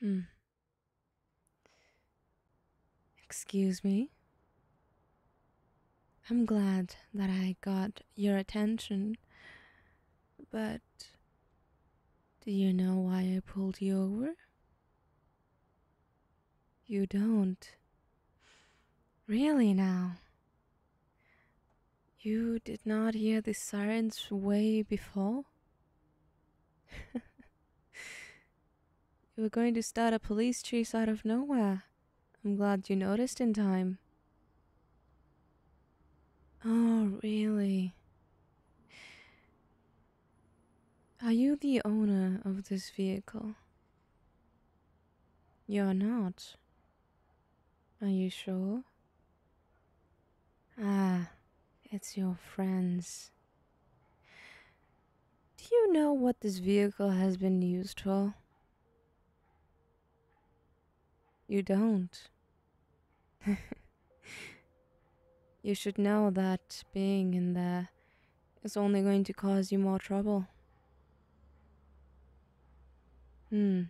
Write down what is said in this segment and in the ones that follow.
Hmm. Excuse me? I'm glad that I got your attention, but do you know why I pulled you over? You don't. Really now? You did not hear the sirens way before? you were going to start a police chase out of nowhere. I'm glad you noticed in time. Oh, really? Are you the owner of this vehicle? You're not. Are you sure? Ah, it's your friends. Do you know what this vehicle has been used for? You don't. you should know that being in there is only going to cause you more trouble. Hmm.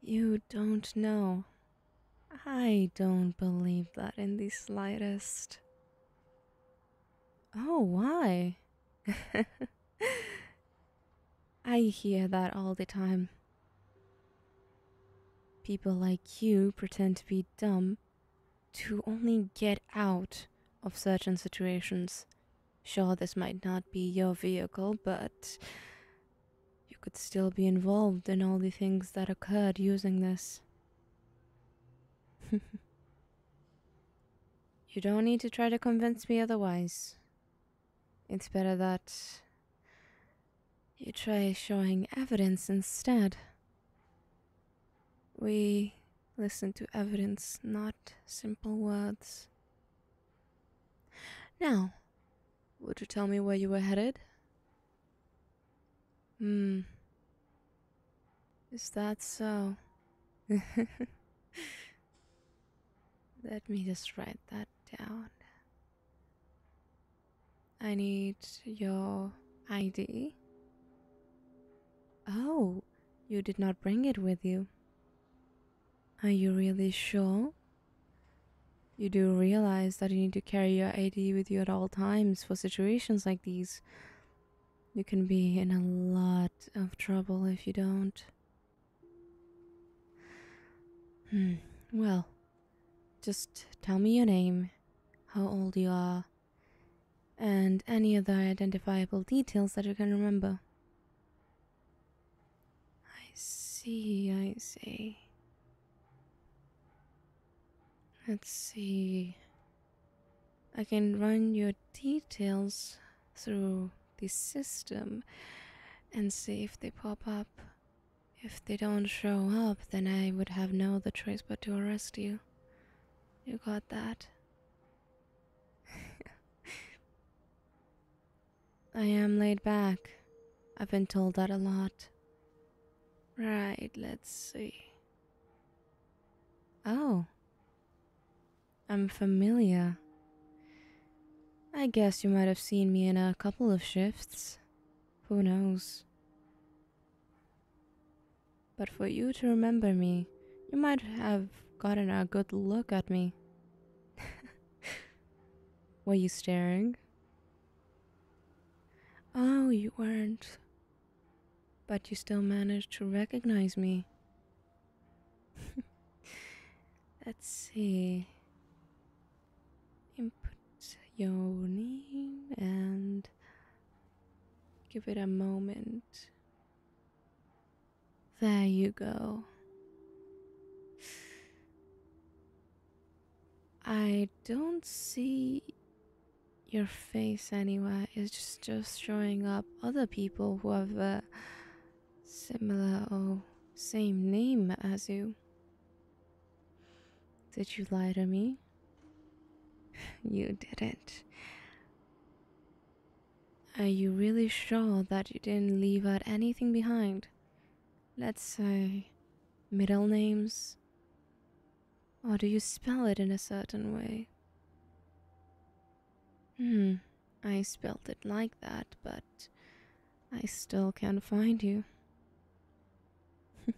You don't know. I don't believe that in the slightest. Oh, why? I hear that all the time. People like you pretend to be dumb to only get out of certain situations. Sure, this might not be your vehicle, but you could still be involved in all the things that occurred using this. you don't need to try to convince me otherwise. It's better that you try showing evidence instead. We listen to evidence, not simple words. Now, would you tell me where you were headed? Hmm. Is that so? Let me just write that down. I need your ID. Oh, you did not bring it with you. Are you really sure you do realize that you need to carry your ID with you at all times for situations like these. You can be in a lot of trouble if you don't. Hmm, well, just tell me your name, how old you are, and any other identifiable details that you can remember. I see, I see. Let's see. I can run your details through the system and see if they pop up. If they don't show up, then I would have no other choice but to arrest you. You got that? I am laid back. I've been told that a lot. Right, let's see. Oh. I'm familiar. I guess you might have seen me in a couple of shifts. Who knows? But for you to remember me, you might have gotten a good look at me. Were you staring? Oh, you weren't. But you still managed to recognize me. Let's see. Input your name and give it a moment. There you go. I don't see your face anywhere. It's just, showing up other people who have a similar or same name as you. Did you lie to me? You didn't. Are you really sure that you didn't leave out anything behind? Let's say middle names? Or do you spell it in a certain way? Hmm, I spelled it like that, but I still can't find you.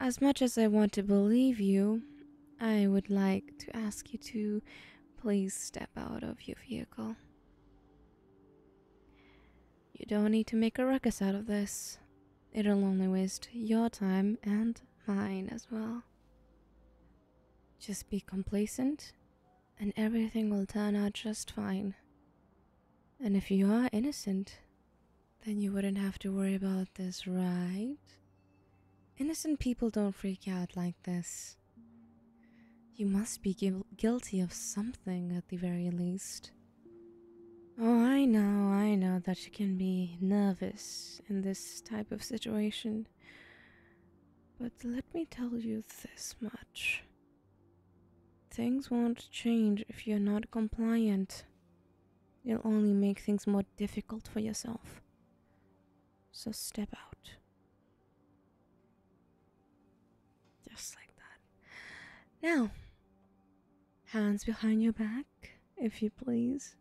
as much as I want to believe you, I would like to ask you to please step out of your vehicle. You don't need to make a ruckus out of this. It'll only waste your time and mine as well. Just be complacent, and everything will turn out just fine. And if you are innocent, then you wouldn't have to worry about this, right? Innocent people don't freak out like this. You must be guilty of something at the very least. Oh, I know, I know that you can be nervous in this type of situation. But let me tell you this much things won't change if you're not compliant. You'll only make things more difficult for yourself. So step out. Just like that. Now, hands behind your back, if you please.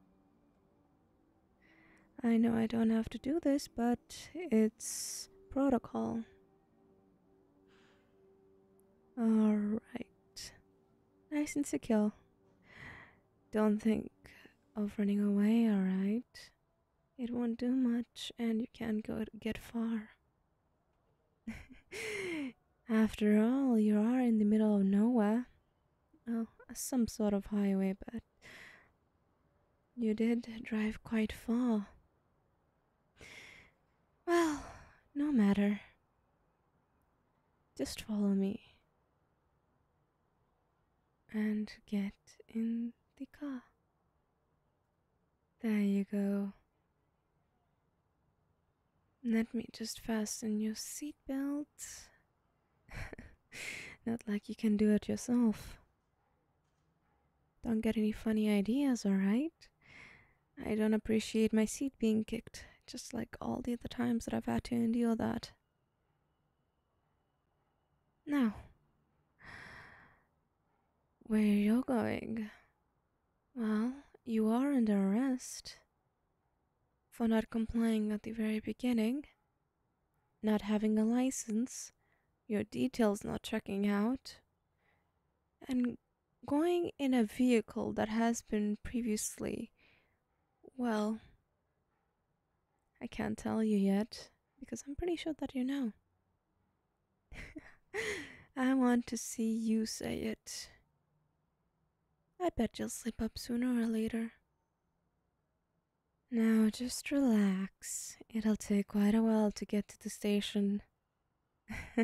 I know I don't have to do this, but it's protocol. Alright. Nice and secure. Don't think of running away, alright? It won't do much, and you can't go get far. After all, you are in the middle of nowhere. Oh, some sort of highway, but you did drive quite far. Well, no matter. Just follow me and get in the car. There you go. Let me just fasten your seatbelt. Not like you can do it yourself. Don't get any funny ideas, alright? I don't appreciate my seat being kicked, just like all the other times that I've had to endure that. Now, where you're going, well, you are under arrest. For not complying at the very beginning, not having a license, your details not checking out, and going in a vehicle that has been previously. Well, I can't tell you yet, because I'm pretty sure that you know. I want to see you say it. I bet you'll slip up sooner or later. Now just relax. It'll take quite a while to get to the station.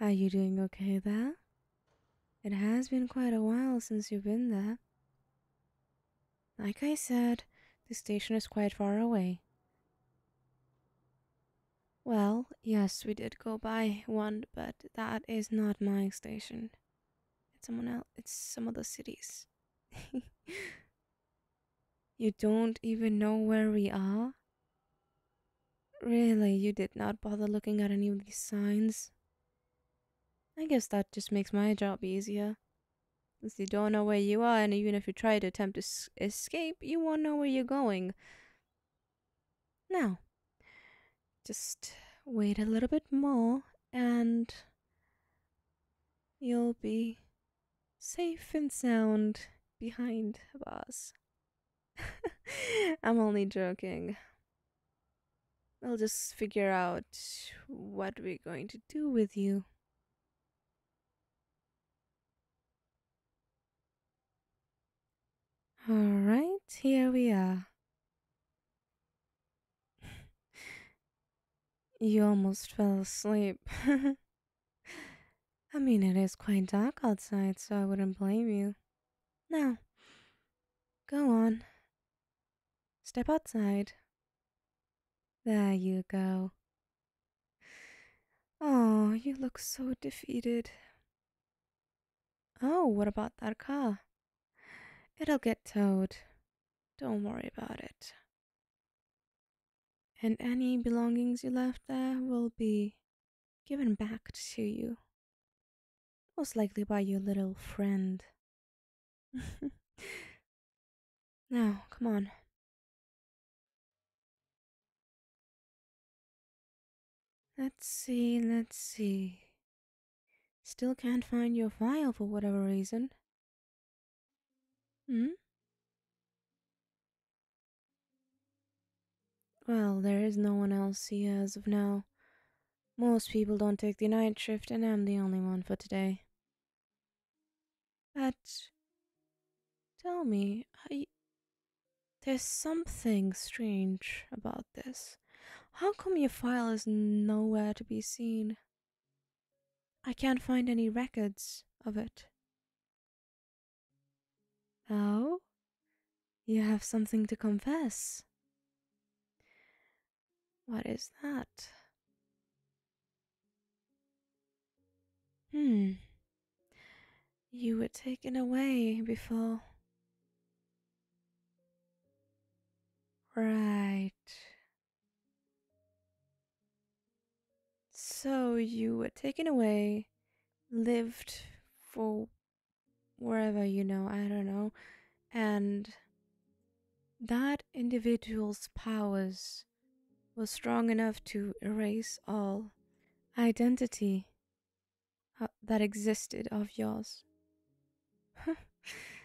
Are you doing okay there? It has been quite a while since you've been there. Like I said, the station is quite far away. Well, yes, we did go by one, but that is not my station. It's someone else. It's some other cities. you don't even know where we are? Really, you did not bother looking at any of these signs? I guess that just makes my job easier. Since you don't know where you are, and even if you try to attempt to escape, you won't know where you're going. Now, just wait a little bit more, and you'll be safe and sound behind bars. I'm only joking. i will just figure out what we're going to do with you. All right, here we are. you almost fell asleep. I mean, it is quite dark outside, so I wouldn't blame you. Now, go on. Step outside. There you go. Oh, you look so defeated. Oh, what about that car? It'll get towed. Don't worry about it. And any belongings you left there will be given back to you, most likely by your little friend now, come on. Let's see, let's see. Still can't find your file for whatever reason. Hmm? Well, there is no one else here as of now. Most people don't take the night shift, and I'm the only one for today. But tell me, I. There's something strange about this. How come your file is nowhere to be seen? I can't find any records of it. Oh? You have something to confess. What is that? Hmm. You were taken away before. Right. So you were taken away, lived for wherever you know, I don't know, and that individual's powers was strong enough to erase all identity uh, that existed of yours.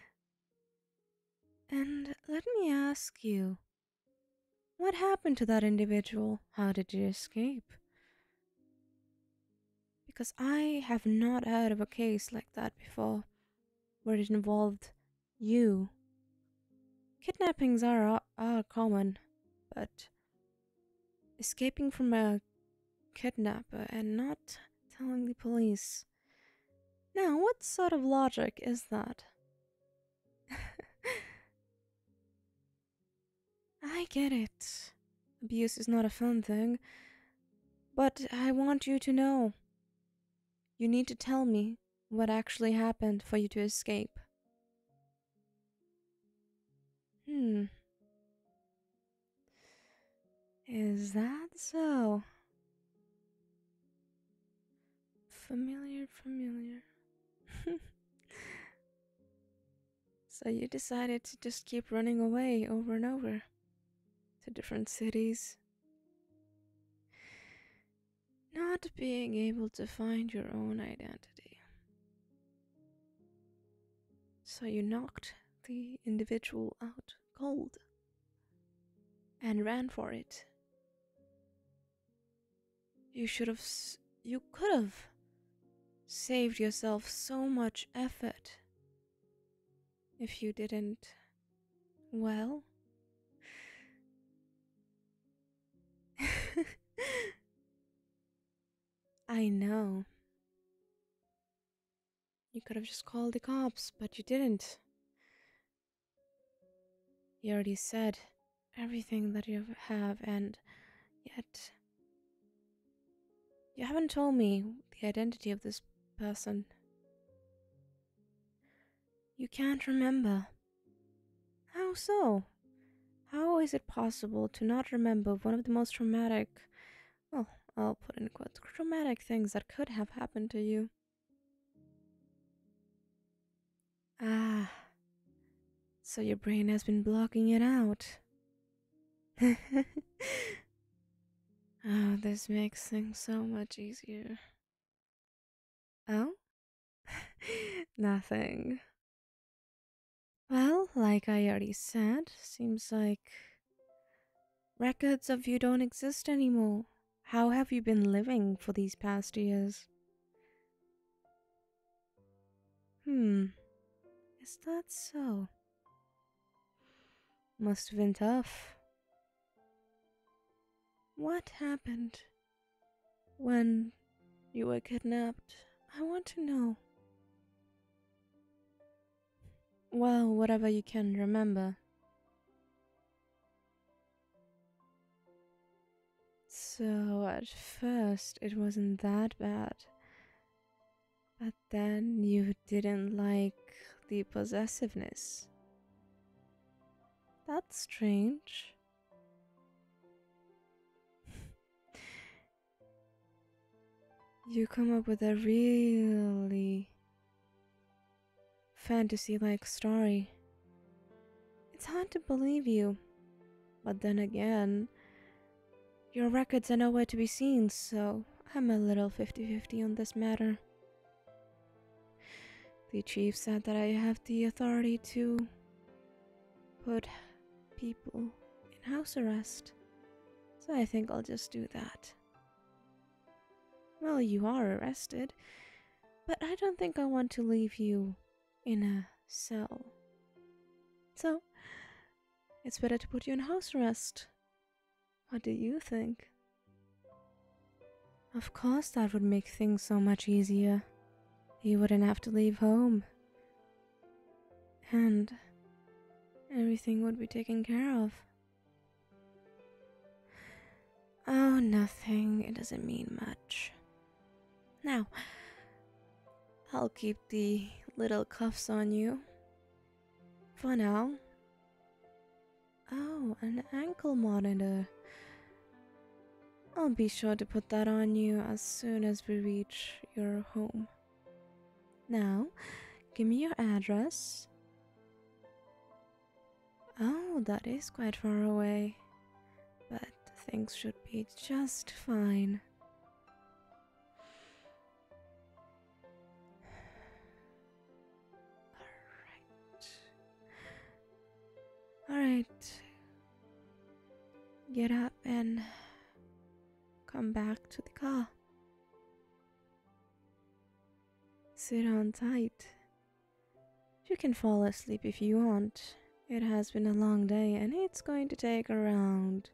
and let me ask you what happened to that individual? How did you escape? Because I have not heard of a case like that before where it involved you. Kidnappings are, are common, but escaping from a kidnapper and not telling the police. Now, what sort of logic is that? I get it. Abuse is not a fun thing. But I want you to know you need to tell me what actually happened for you to escape. Hmm. Is that so? Familiar, familiar. so you decided to just keep running away over and over to different cities not being able to find your own identity. So you knocked the individual out cold and ran for it. You should have, you could have saved yourself so much effort if you didn't, well, I know. You could have just called the cops, but you didn't. You already said everything that you have, and yet. You haven't told me the identity of this person. You can't remember. How so? How is it possible to not remember one of the most dramatic well, I'll put in quotes, dramatic things that could have happened to you? Ah, so your brain has been blocking it out. oh, this makes things so much easier. Oh? Nothing. Well, like I already said, seems like records of you don't exist anymore. How have you been living for these past years? Hmm, is that so? Must have been tough. What happened? When you were kidnapped, I want to know. Well, whatever you can remember. So at first it wasn't that bad. But then you didn't like the possessiveness. That's strange. you come up with a really fantasy like story. It's hard to believe you, but then again, your records are nowhere to be seen, so I'm a little 50 50 on this matter. The chief said that I have the authority to put people in house arrest, so I think I'll just do that. Well, you are arrested, but I don't think I want to leave you in a cell. So, it's better to put you in house arrest. What do you think? Of course, that would make things so much easier. He wouldn't have to leave home. And everything would be taken care of. Oh, nothing. It doesn't mean much. Now, I'll keep the little cuffs on you. For now. Oh, an ankle monitor. I'll be sure to put that on you as soon as we reach your home. Now, give me your address. Oh, that is quite far away, but things should be just fine. All right. All right get up and come back to the car. Sit on tight. You can fall asleep if you want. It has been a long day and it's going to take around,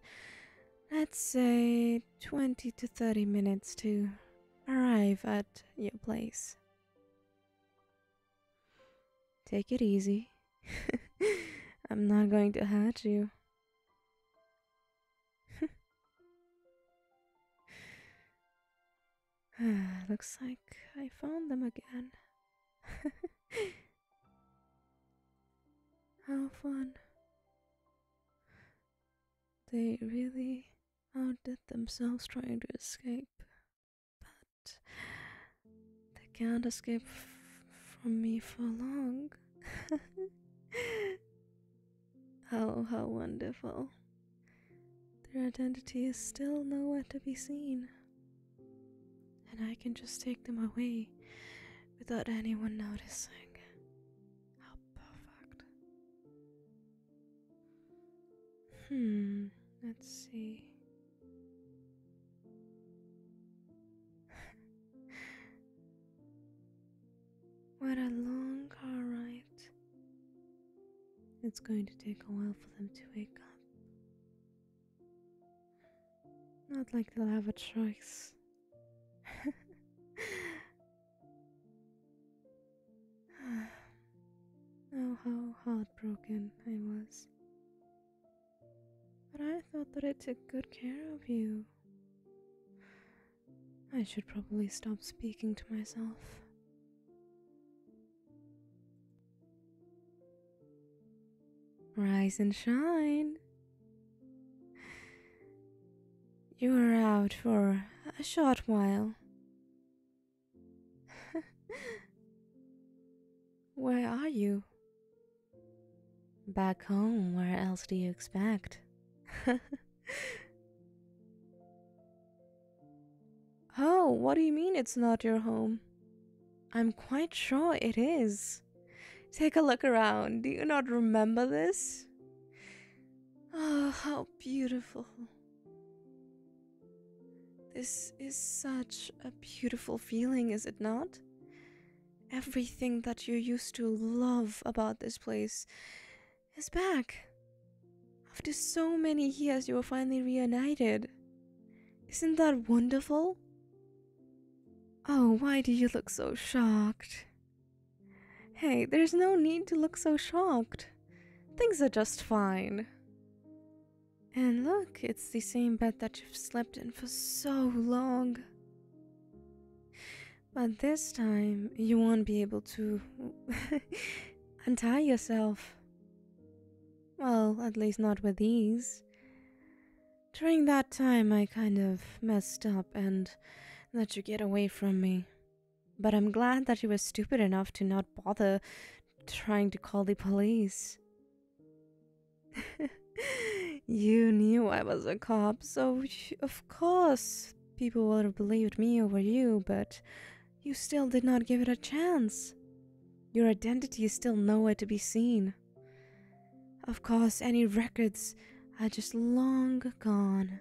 let's say, 20 to 30 minutes to arrive at your place. Take it easy. I'm not going to hurt you. Looks like I found them again. How fun. They really outdid themselves trying to escape but they can't escape from me for long. Oh, how wonderful. Their identity is still nowhere to be seen. And I can just take them away without anyone noticing. How perfect. Hmm, let's see. what a long car ride. It's going to take a while for them to wake up. Not like they'll have a choice. Oh, how heartbroken I was. But I thought that I took good care of you. I should probably stop speaking to myself. Rise and shine! You are out for a short while. where are you? Back home, where else do you expect? oh, what do you mean it's not your home? I'm quite sure it is. Take a look around. Do you not remember this? Oh, how beautiful. This is such a beautiful feeling, is it not? Everything that you used to love about this place is back. After so many years, you are finally reunited. Isn't that wonderful? Oh, why do you look so shocked? Hey, there's no need to look so shocked. Things are just fine. And look, it's the same bed that you've slept in for so long. But this time, you won't be able to untie yourself. Well, at least not with ease. During that time, I kind of messed up and let you get away from me. But I'm glad that you were stupid enough to not bother trying to call the police. you knew I was a cop, so of course people would have believed me over you, but you still did not give it a chance. Your identity is still nowhere to be seen. Of course, any records are just long gone.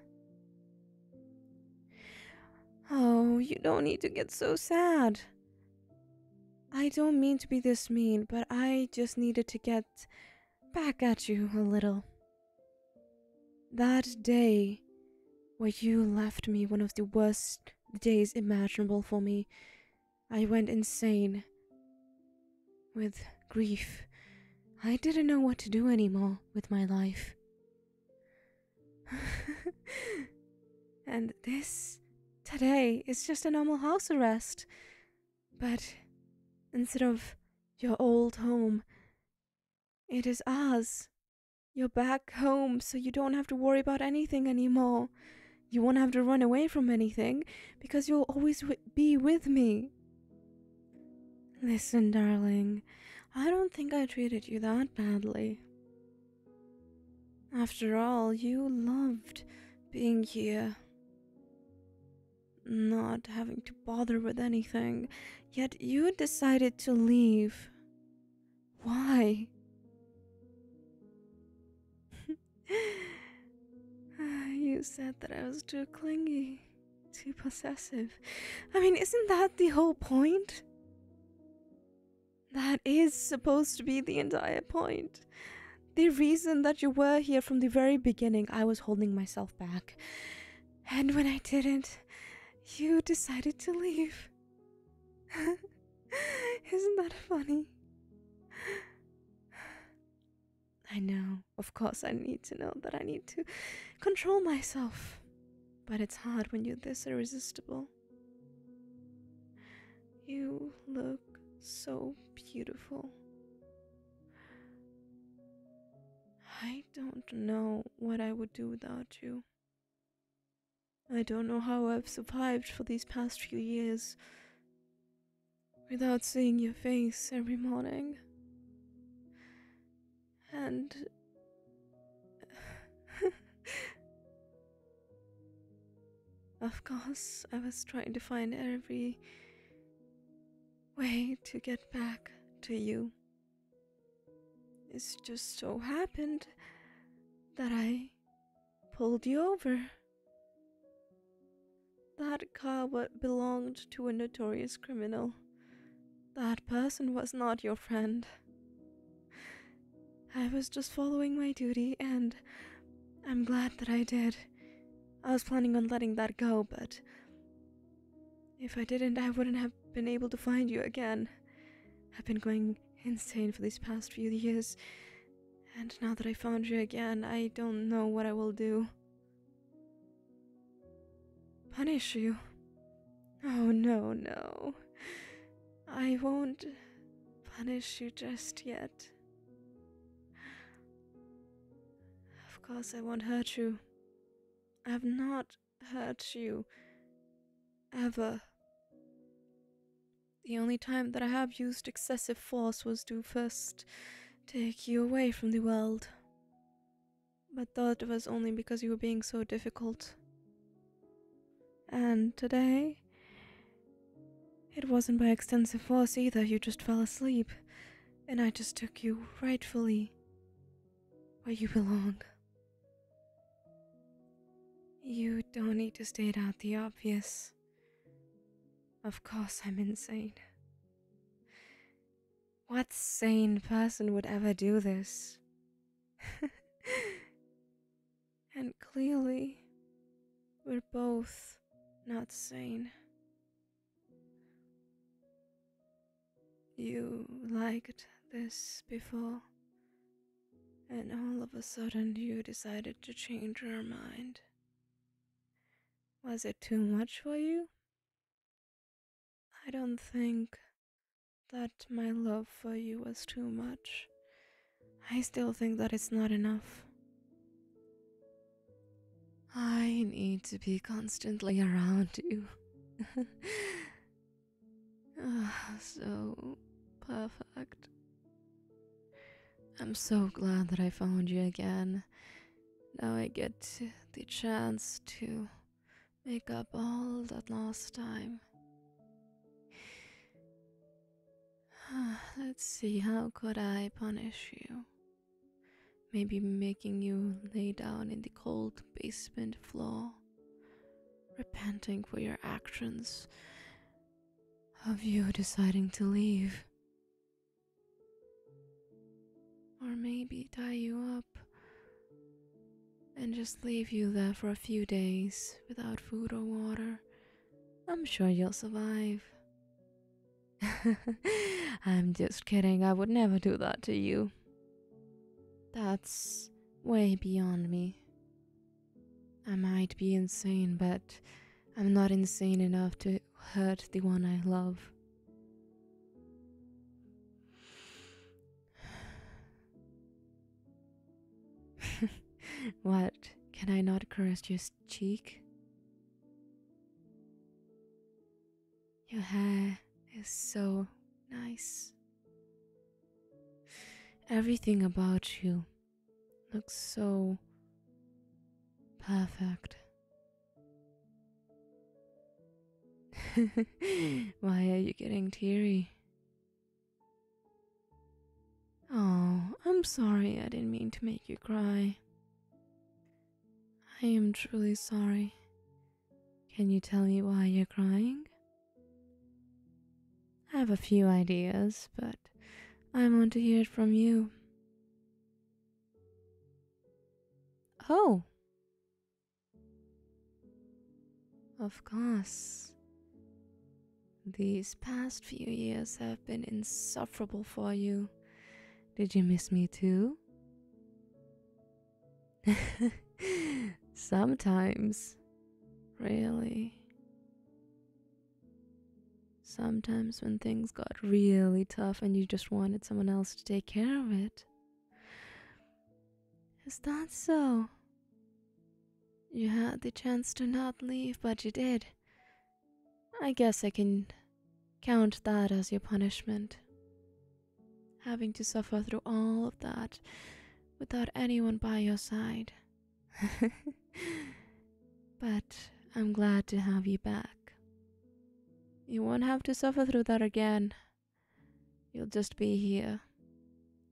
Oh, you don't need to get so sad. I don't mean to be this mean, but I just needed to get back at you a little. That day where you left me, one of the worst days imaginable for me, I went insane with grief. I didn't know what to do anymore with my life. and this Today is just a normal house arrest. But instead of your old home, it is ours. You're back home, so you don't have to worry about anything anymore. You won't have to run away from anything because you'll always be with me. Listen, darling, I don't think I treated you that badly. After all, you loved being here. Not having to bother with anything, yet you decided to leave. Why? you said that I was too clingy, too possessive. I mean, isn't that the whole point? That is supposed to be the entire point. The reason that you were here from the very beginning, I was holding myself back. And when I didn't, you decided to leave. Isn't that funny? I know, of course, I need to know that I need to control myself. But it's hard when you're this irresistible. You look so beautiful. I don't know what I would do without you. I don't know how I've survived for these past few years without seeing your face every morning. And Of course, I was trying to find every way to get back to you. It just so happened that I pulled you over. That car belonged to a notorious criminal. That person was not your friend. I was just following my duty, and I'm glad that I did. I was planning on letting that go, but if I didn't, I wouldn't have been able to find you again. I've been going insane for these past few years, and now that I found you again, I don't know what I will do. Punish you? Oh, no, no. I won't punish you just yet. Of course, I won't hurt you. I have not hurt you. Ever. The only time that I have used excessive force was to first take you away from the world. But that was only because you were being so difficult. And today? It wasn't by extensive force either, you just fell asleep, and I just took you rightfully where you belong. You don't need to state out the obvious. Of course, I'm insane. What sane person would ever do this? and clearly we're both not sane. You liked this before, and all of a sudden you decided to change your mind. Was it too much for you? I don't think that my love for you was too much. I still think that it's not enough. I need to be constantly around you. oh, so perfect. I'm so glad that I found you again. Now I get the chance to make up all that lost time. Let's see, how could I punish you? Maybe making you lay down in the cold basement floor, repenting for your actions, of you deciding to leave. Or maybe tie you up and just leave you there for a few days without food or water I'm sure you'll survive. I'm just kidding, I would never do that to you. That's way beyond me. I might be insane, but I'm not insane enough to hurt the one I love. what? Can I not caress your cheek. Your hair is so nice. Everything about you looks so perfect. Hmm. Why are you getting teary? Oh, I'm sorry I didn't mean to make you cry. I am truly sorry. Can you tell me why you're crying? I have a few ideas, but I want to hear it from you. Oh! Of course. These past few years have been insufferable for you. Did you miss me too? Sometimes. Really. Sometimes when things got really tough and you just wanted someone else to take care of it. Is that so? You had the chance to not leave, but you did. I guess I can count that as your punishment. Having to suffer through all of that without anyone by your side. but I'm glad to have you back. You won't have to suffer through that again. You'll just be here,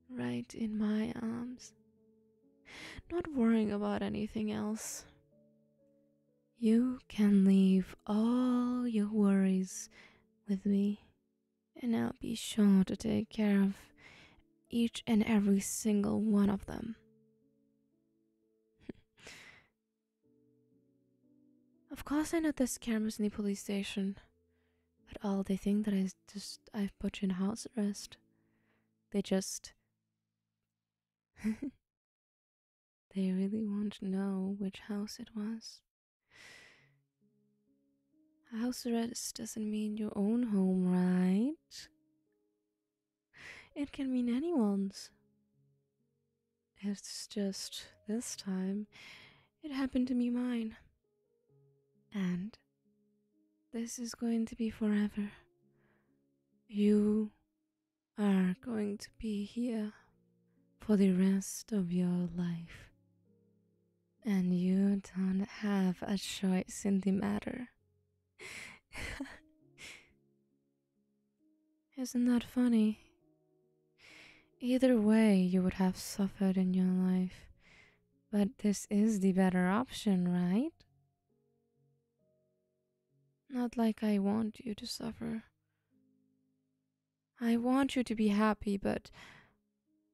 right in my arms not worrying about anything else. You can leave all your worries with me, and I'll be sure to take care of each and every single one of them. of course, I know there's cameras in the police station, but all they think that I just I've put you in house arrest. They just they really won't know which house it was. House arrest doesn't mean your own home, right? It can mean anyone's. It's just this time it happened to be mine. And this is going to be forever. You are going to be here for the rest of your life, and you don't have a choice in the matter. Isn't that funny? Either way, you would have suffered in your life, but this is the better option, right? Not like I want you to suffer. I want you to be happy, but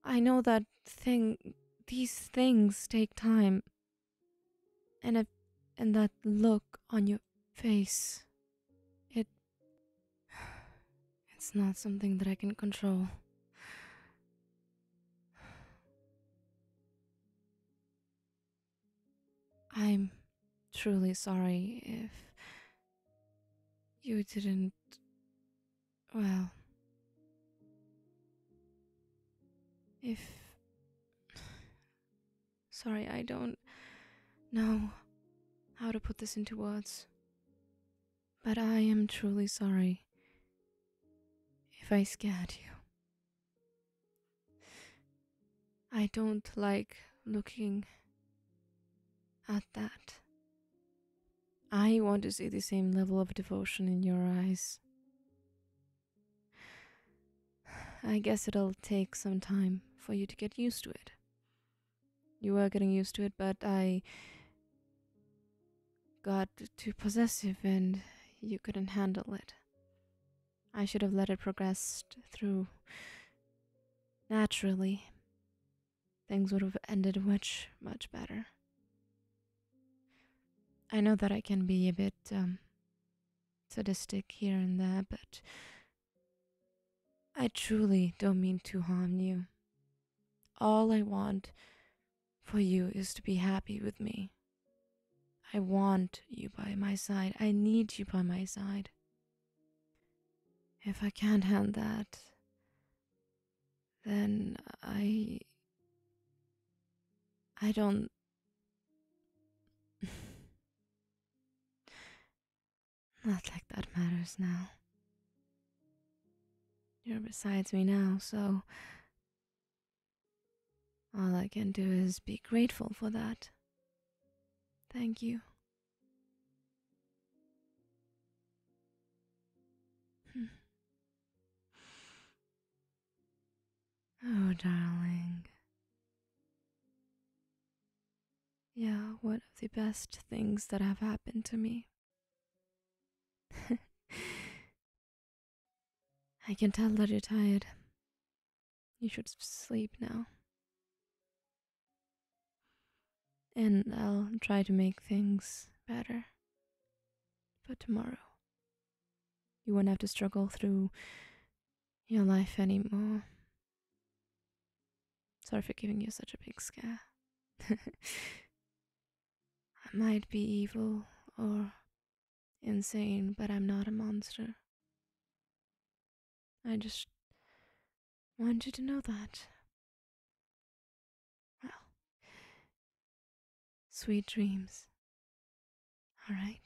I know that thing these things take time. And that look on your face it it's not something that I can control. I'm truly sorry if you didn't. Well. If. Sorry, I don't know how to put this into words. But I am truly sorry if I scared you. I don't like looking at that. I want to see the same level of devotion in your eyes. I guess it'll take some time for you to get used to it. You were getting used to it, but I got too possessive and you couldn't handle it. I should have let it progress through naturally. Things would have ended much, much better. I know that I can be a bit um, sadistic here and there, but I truly don't mean to harm you. All I want for you is to be happy with me. I want you by my side. I need you by my side. If I can't handle that, then I. I don't. Not like that matters now. You're beside me now, so. All I can do is be grateful for that. Thank you. Hmm. Oh, darling. Yeah, one of the best things that have happened to me. I can tell that you're tired. You should sleep now. And I'll try to make things better for tomorrow. You won't have to struggle through your life anymore. Sorry for giving you such a big scare. I might be evil or Insane, but I'm not a monster. I just want you to know that. Well, sweet dreams. All right.